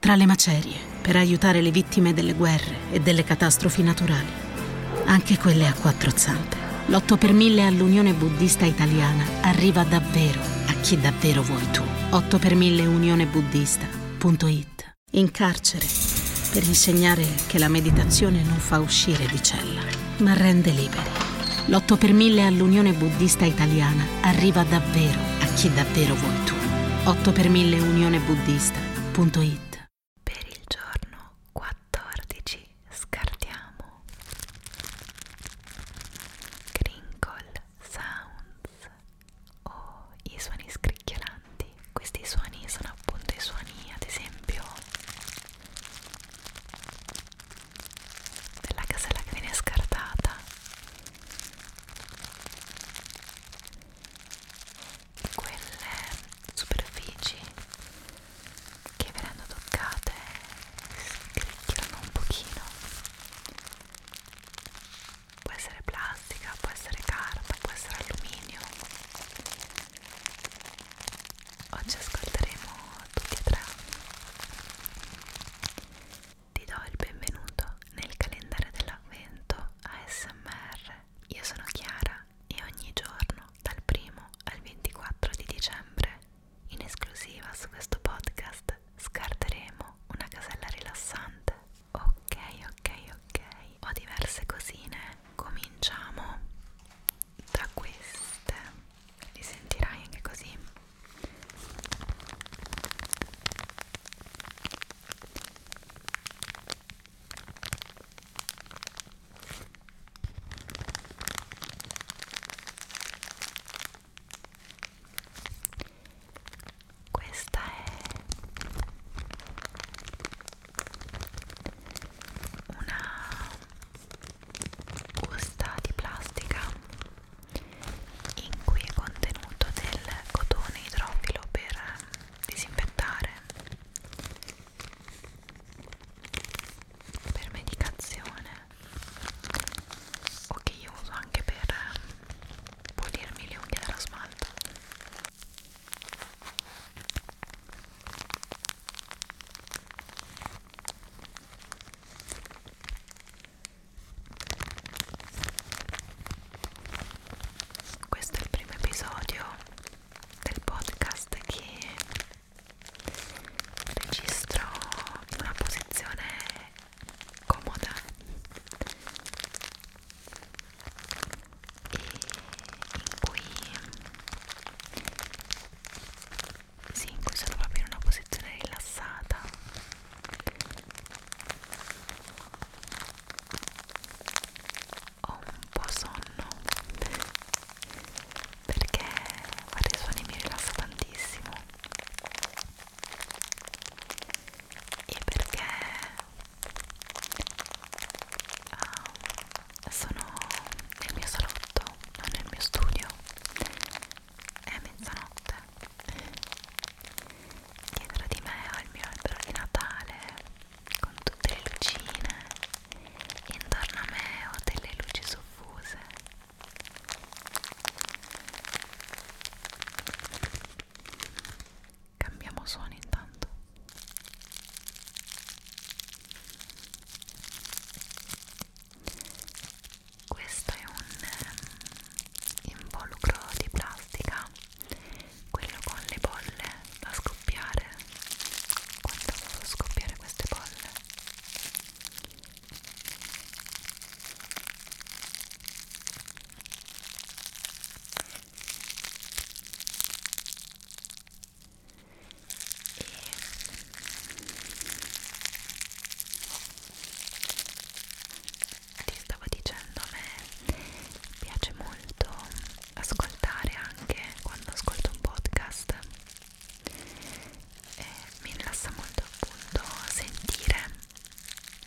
tra le macerie per aiutare le vittime delle guerre e delle catastrofi naturali, anche quelle a quattro zampe. L'8 per 1000 all'Unione Buddista Italiana arriva davvero a chi davvero vuoi tu. 8 per 1000 unionebuddista.it In carcere per insegnare che la meditazione non fa uscire di cella, ma rende liberi. L'8 per 1000 all'Unione Buddista Italiana arriva davvero a chi davvero vuoi tu. 8 per 1000 Unione Buddista.it Per il giorno 14 scartiamo Crinkle Sounds o oh, i suoni scricchiolanti. Questi suoni sono appunto i suoni ad esempio della casella che viene scartata quelle superfici che verranno toccate scricchiolano un pochino può essere plastica, può essere carta, può essere alluminio oggi ascolteremo tutti e tre ti do il benvenuto nel calendario dell'avvento ASMR. Io sono Chiara e ogni giorno, dal 1 al 24 di dicembre, in esclusiva su questo podcast, scarteremo una casella rilassante. Ok, ok, ok. Ho diverse cosine. Cominciamo da queste. Li sentirai anche così questa è una busta di plastica in cui è contenuto del cotone idrofilo per ehm, disinfettare per medicazione o che io uso anche per ehm, pulirmi le unghie dallo smalto questo è il primo episodio del podcast che registro in una posizione comoda e in cui sì, in cui sono proprio in una posizione rilassata ho un po' sonno perché fare i suoni mi rilassa tantissimo e perché um, sono nel mio salotto, non nel mio studio è mezzanotte dietro di me ho il mio albero di Natale con tutte le lucine intorno a me ho delle luci soffuse cambiamo suono intanto questo è un ehm, involucro di plastica quello con le bolle da scoppiare quando fanno scoppiare queste bolle e ti stavo dicendo a me piace molto ascoltare anche quando ascolto un podcast e mi rilassa molto appunto sentire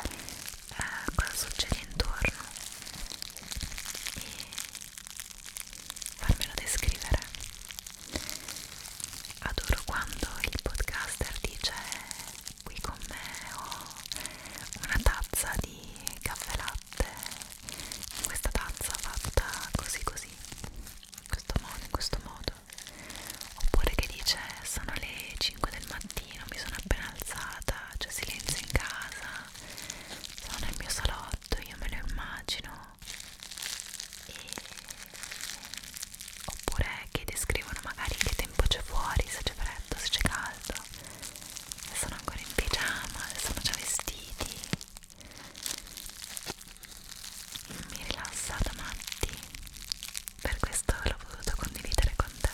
eh, cosa succede intorno e farmelo descrivere adoro quando il podcaster dice qui con me ho una tazza di caffè latte questa tazza fatta così così in questo modo in questo modo oppure che dice sono le 5 del mattino mi sono appena alzata c'è silenzio in casa sono nel mio salotto io me lo immagino e... oppure che descrivono magari che tempo c'è fuori, se c'è freddo, se c'è caldo se sono ancora in pigiama, se sono già vestiti mi rilassa da matti per questo l'ho voluto condividere con te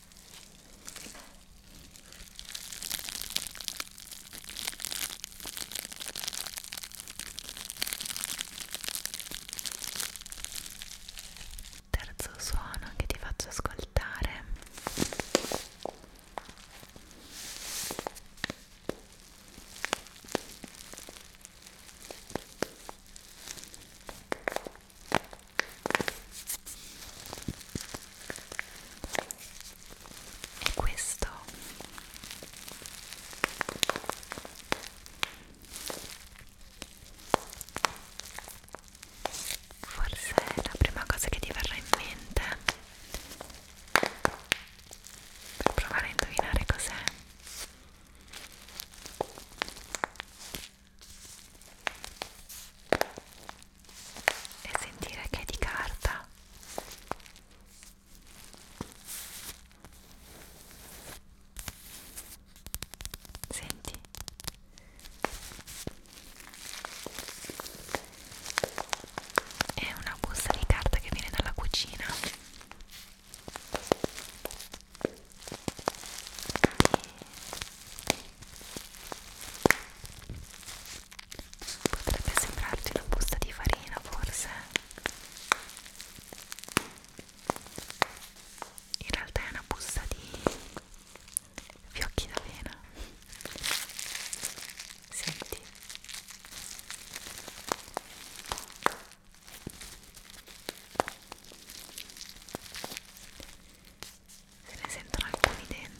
Terzo suono che ti faccio ascoltare e questo forse è la prima cosa che ti verrà in mente per provare a indovinare cos'è e sentire che è di carta senti è una busta di carta che viene dalla cucina e Potrebbe sembrarti una busta di farina, forse. In realtà è una busta di fiocchi d'avena. Senti se ne sentono alcuni dentro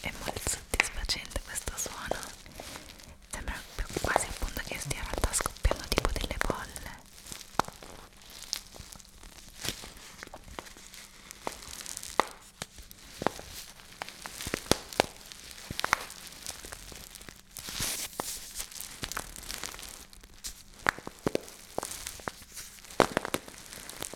è molto soddisfacente questo suono sembra più quasi appunto che stia in realtà scoppiando tipo delle bolle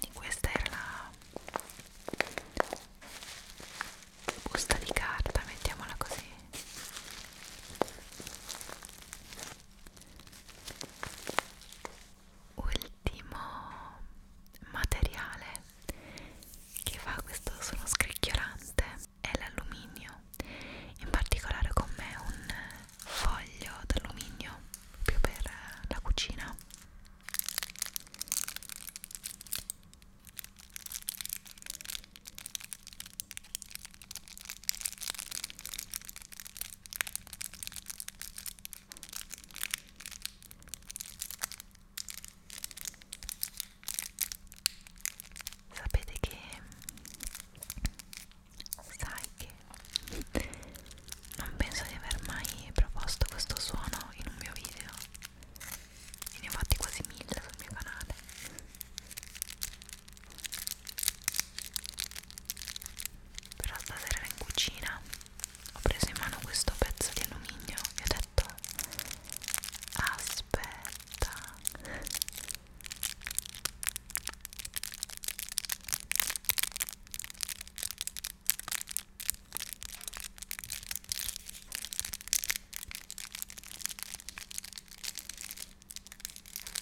e questa era la busta di carta mettiamola così ultimo materiale che fa questo suono scricchiolante è l'alluminio, in particolare con me un foglio d'alluminio più per eh, la cucina sapete che sai che non penso di aver mai proposto questo suono in un mio video e ne ho fatti quasi mille sul mio canale però stasera ero in cucina ho preso in mano questo pezzo di alluminio e ho detto aspetta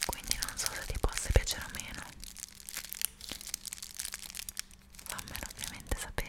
quindi non so se ti possa piacere o meno. Fammelo ovviamente sapere.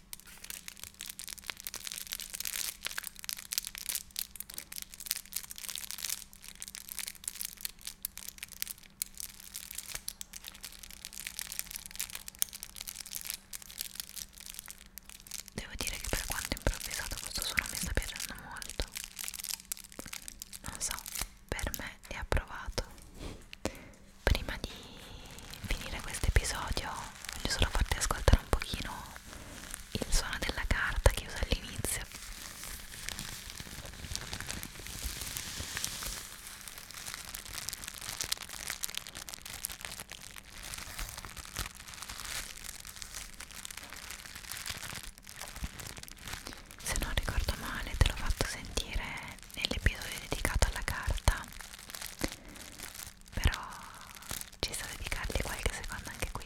Devo dire che per quanto improvvisato questo suono mi sta piacendo molto. Non so, per me è approvato prima di finire questo episodio voglio solo farti ascoltare un pochino il suono della carta che uso all'inizio se non ricordo male te l'ho fatto sentire nell'episodio dedicato alla carta però ci sta dedicargli qualche secondo anche qui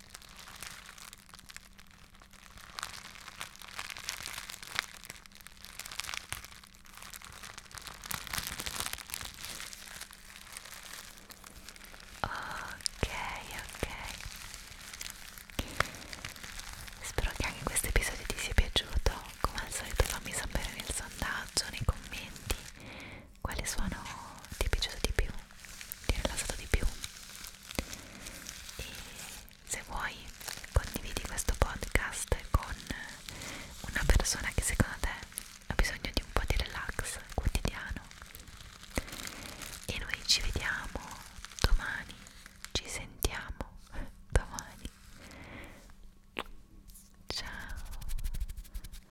Ok, ok. Spero che anche questo episodio ti sia piaciuto. Come al solito fammi sapere nel sondaggio, nei commenti quale suono ti è piaciuto di più, ti è rilassato di più e se vuoi condividi questo podcast con una persona che secondo te ha bisogno di un po' di relax quotidiano e noi ci vediamo domani, ci sentiamo domani ciao